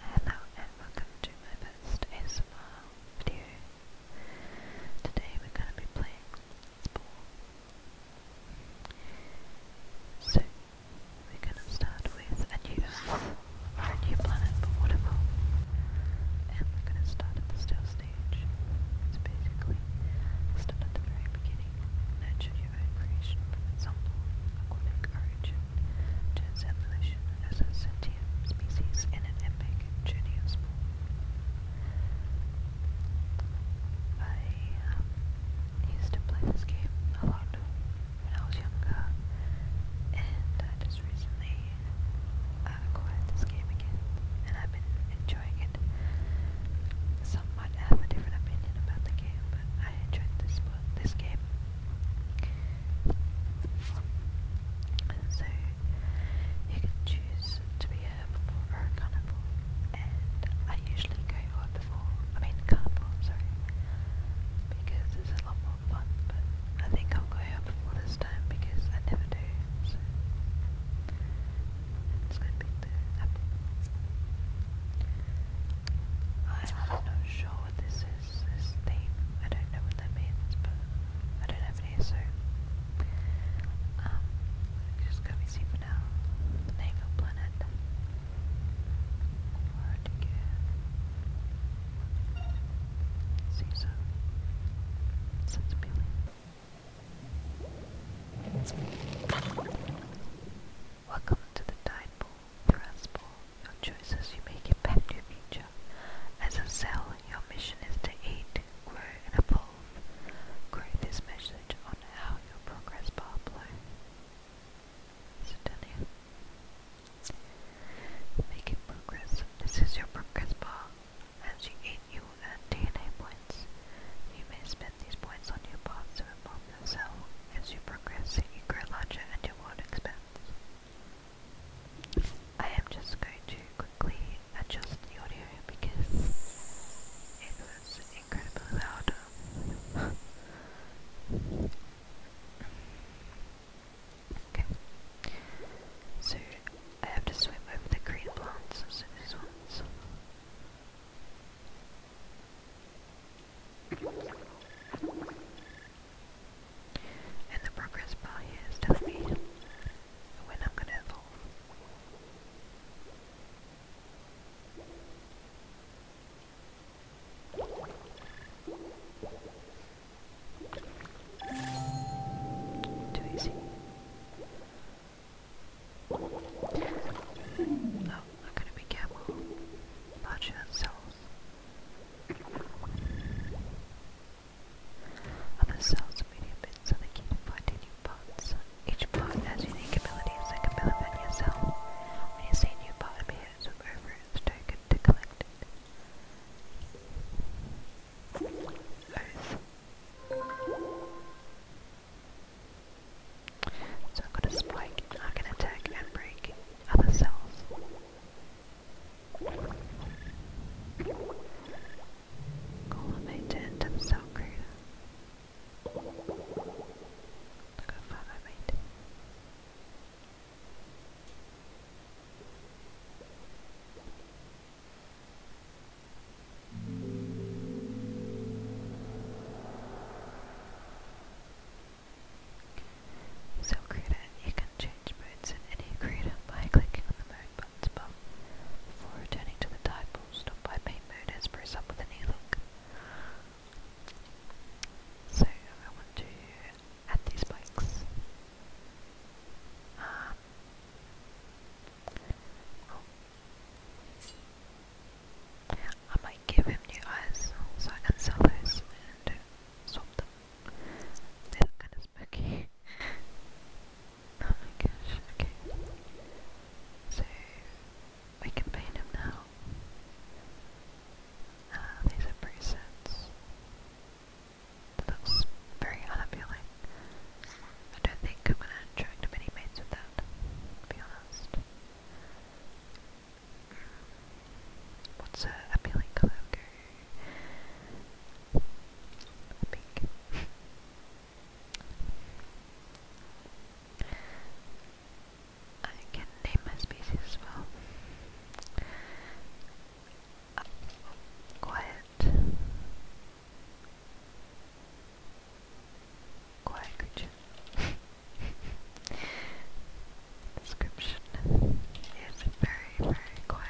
Hello and welcome to my first ASMR video. Today we're going to be playing Spore. So, we're going to start with a new Earth, or a new planet, but whatever. And we're going to start at the still stage. It's basically start at the very beginning, nurture your own creation from its humble, aquatic origin to its evolution as a sentient species in an epic journey I um, used to play this game a lot when I was younger, and I just recently uh, acquired this game again, and I've been enjoying it. Some might have a different opinion about the game, but I enjoyed this, this game so you can choose to be a herbivore a carnivore, and I usually go herbivore. I mean carnivore, sorry, because it's a lot more fun. But I think I'll go herbivore this time because I never do. So it's gonna be the I'm not sure what this is, this theme. I don't know what that means, but I don't have any, so um, just gonna be see for now. The planet. Where'd you Caesar. Sensibility. Welcome to the tide pool principle. Your choices you make impact your future. As a cell, your mission is to aid, grow, and evolve. Grow this message on how your progress bar below. So down here. Making progress. This is your progress bar. As you eat, you will earn DNA points. You may spend these points on your path to evolve your cell. As you progress, you grow larger and your world expands. I am just going to quickly adjust the audio because it was incredibly loud. okay. So I have to swim over the green plants, so these ones. And the progress bar here is telling me when i gonna evolve. Too easy. Oh, I'm gonna be careful. Larger cells. Other cells are medium bits are the key to finding new parts. Each part has unique abilities that can benefit yourself. When you see a new part appear, swim over its token to collect it. So I've got a spike, I can attack and break other cells. Collimated to the South Crater. Look how far I made. So Krita, you can change modes in any Krita by clicking the mode buttons above. Before returning to the title, stop by main mode and press up with an e-link. So I want to add these bikes. Um, I might give him new eyes so I can sell those and swap them. They look kind of spooky. oh my gosh, okay. So, we can paint him now. Uh, these are presets. looks very unappealing. I don't think I'm gonna attract many mates with that, to be honest. What's a appealing color? Okay. Pink. I can name my species quiet. Quiet creature. description is very, very quiet.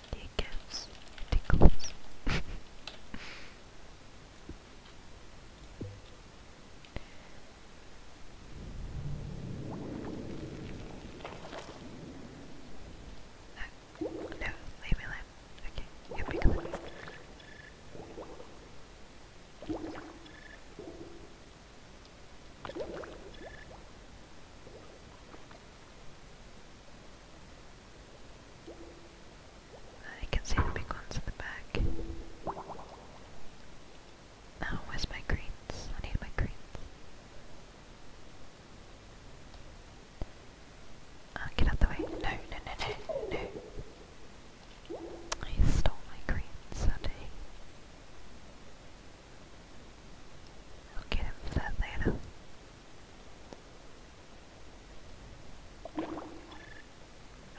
Um, gives tickles. No, leave me alone. Okay, you'll be I can see the big ones in the back. Now, oh, where's my greens? I need my greens. Uh, get out the way. No, no, no, no, no. He stole my green sundae. I'll get him for that later.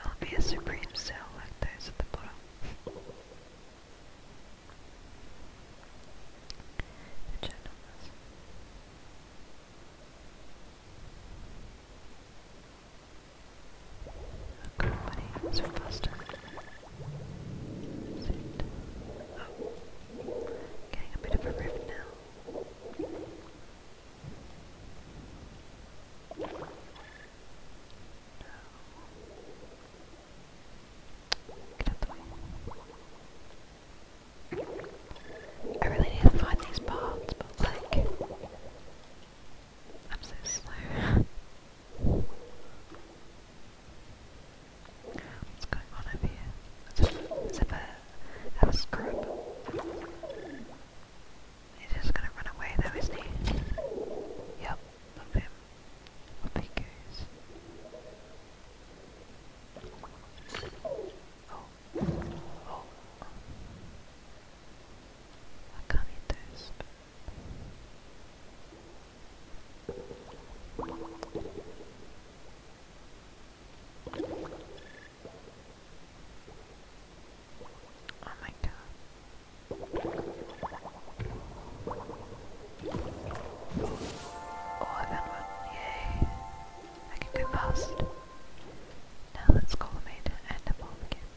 I'll be a supreme cell like those at the bottom. The Okay, buddy, so flustered. getting a bit of a rift now. I really need to find these parts, but like, I'm so slow. What's going on over here? It's a bird. scrub. He's just gonna run away though, isn't he? Yep, love him. Up he goes. Oh. Oh. this. Oh my god. Oh, that one, yay. I can go past. Now let's call the maiden and the bomb again.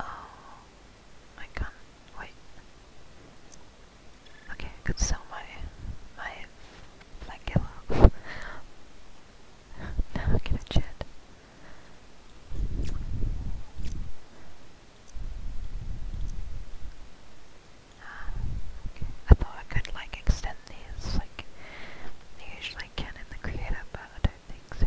Oh, I can wait. Okay, I could sell my my my now I get a ah, I thought I could like extend these like I usually can in the creator, but I don't think so.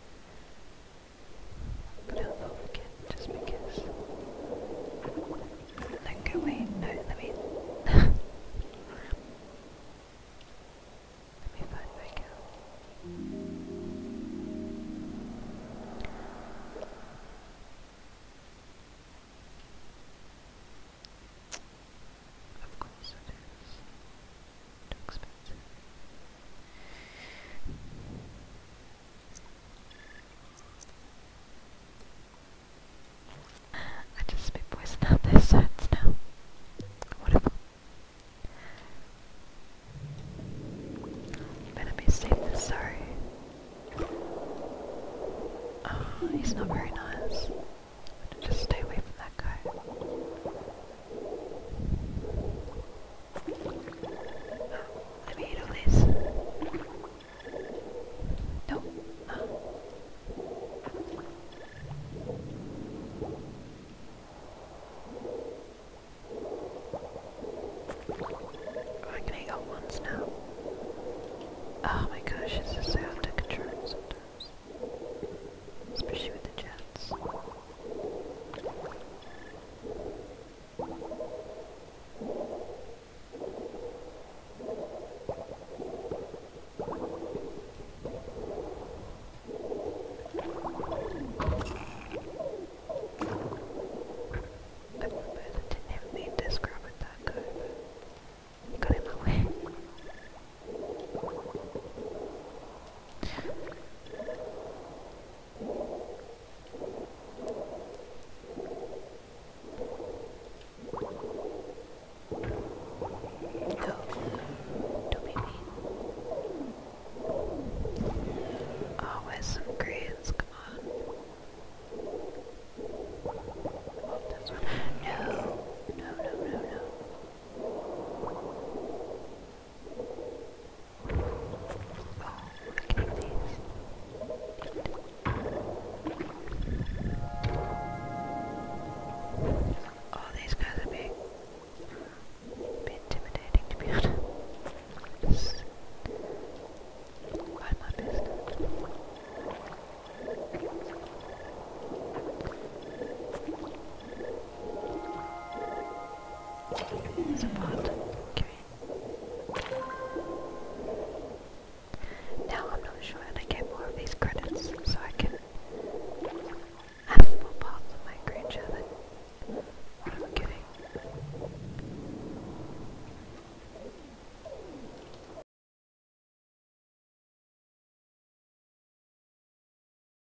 But I'll forget just because. Don't go away. No, let me. let me find my girl. Of course it is. I just be voicing out their sets now. better be safe sorry. Oh, he's not very nice. Just stay away from that guy. Ah, let me do this. No. I'm gonna go now. Oh my gosh, it's just out control sometimes. Especially with the Jets. I didn't even mean to scrub with that guy, got in my way. Go, don't be mean. Always some greens, come on. Oh, this one. No, no, no, no, no. Oh, these guys are big. A bit intimidating to be honest. Mind my business. There's a Okay. Now I'm not sure how to get more of these credits, so I can add more parts of my creature I'm giving.